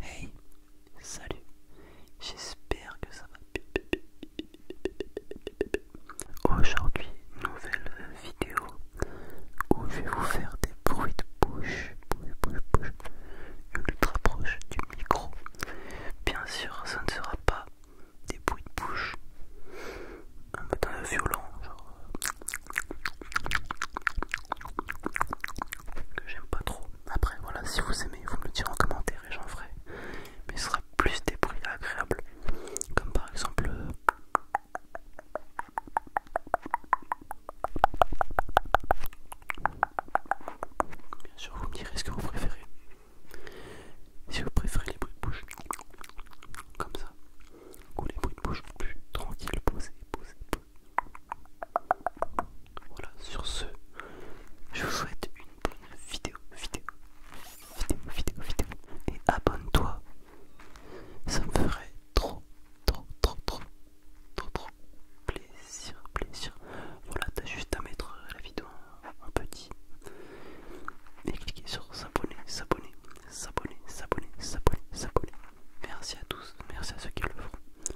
Hey, salut, j'espère que ça va Aujourd'hui, nouvelle vidéo où je vais vous faire des bruits de bouche, ultra proche du micro. Bien sûr, ça ne sera pas des bruits de bouche un matin violon, genre euh, que j'aime pas trop. Après, voilà, si vous aimez, vous me le direz en commentaire et j'en ferai. Mais ce sera plus des bruits agréables, comme par exemple. Euh, Bien sûr, vous me direz ce que vous préférez. Si vous préférez les bruits de bouche, comme ça, ou les bruits de bouche plus tranquilles, posés, posés, voilà, sur ce, je vous souhaite une bonne vidéo, vidéo, vidéo, vidéo, vidéo. Et abonne-toi, ça me ferait trop, trop, trop, trop, trop, trop plaisir, plaisir. Voilà, t'as juste à mettre la vidéo en petit et cliquer sur s'abonner, s'abonner, s'abonner, s'abonner, s'abonner, s'abonner. Merci à tous, merci à ceux qui le font.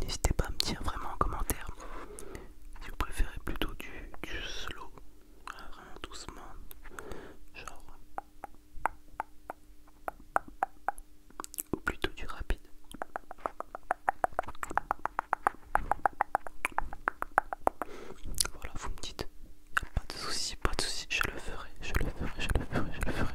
N'hésitez pas à me dire vraiment en commentaire si vous préférez plutôt du, slow, vraiment doucement, genre, ou plutôt du rapide. Voilà, vous me dites, pas de soucis, pas de soucis, je le ferai, je le ferai, je le ferai, je le ferai.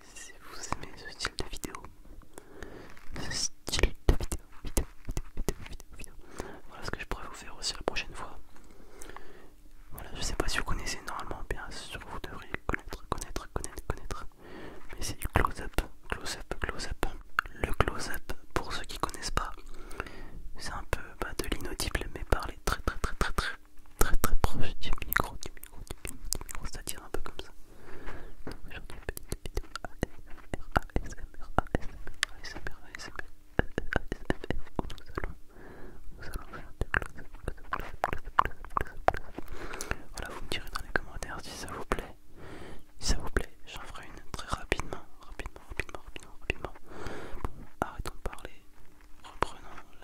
si vous aimez ce style de vidéo, ce style de vidéo, vidéo, vidéo, vidéo, vidéo, voilà ce que je pourrais vous faire aussi la prochaine fois. Voilà, je sais pas si vous connaissez normalement, bien sûr vous devriez connaître, connaître, connaître, connaître. Mais c'est du close-up, close-up, close-up. Le close-up, pour ceux qui connaissent pas, c'est un peu bah, de l'inaudible, mais parler très, très, très, très, très, très, très, très proche du micro. On numéro, numéro, cest un peu comme ça. Aujourd'hui, petite vidéo ASMR, ASMR, ASMR, ASMR, ASMR, où nous allons, nous allons faire des close Voilà, vous me direz dans les commentaires si ça vous plaît. Si ça vous plaît, j'en ferai une très rapidement, rapidement, rapidement, rapidement, rapidement. Bon, arrêtons de parler, reprenons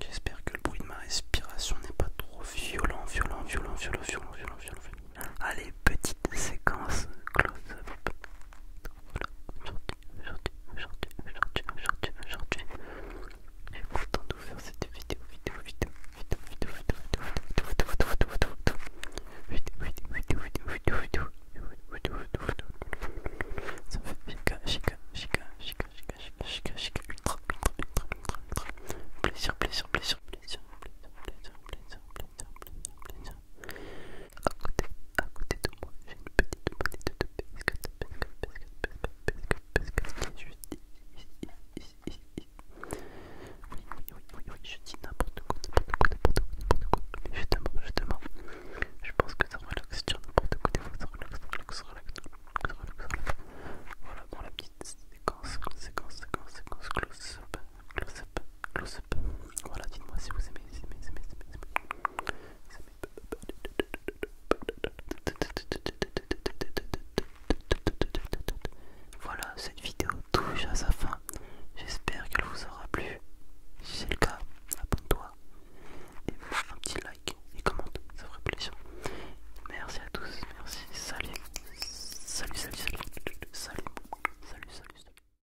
J'espère que le bruit de ma respiration n'est pas trop violent, violent, violent, violent, violent, violent, violent. Allez, petite séquence close-up voilà, aujourd'hui, aujourd'hui, aujourd'hui, aujourd'hui, aujourd'hui, de faire cette vidéo, vidéo, vidéo, vidéo, vidéo, vidéo, vidéo, vidéo, vidéo, vidéo, vidéo, vidéo, vidéo, vidéo, vidéo, vidéo, ça fait chica, chica, chica, chica, chica, chica, chica, ultra, ultra, ultra, ultra, ultra, plaisir, plaisir, plaisir, plaisir, plaisir, plaisir, plaisir, plaisir, plaisir, plaisir, à côté, de moi, j'ai une petite de oui, oui, oui, je dis n'importe quoi, n'importe quoi, n'importe quoi, mais justement, justement, je pense que ça relaxe n'importe quoi, des fois ça relaxe, relaxe, relaxe, voilà, bon, la petite séquence, séquence, séquence, séquence, close-up, close-up, Close up. Voilà, dites-moi si vous aimez, si vous aimez, si vous aimez, Voilà, cette vidéo touche à sa fin. J'espère qu'elle vous aura plu. Si c'est le cas, abonne-toi et mets un petit like et commente, ça ferait plaisir. Merci à tous, merci, salut, salut, salut, salut, salut, salut, salut. salut.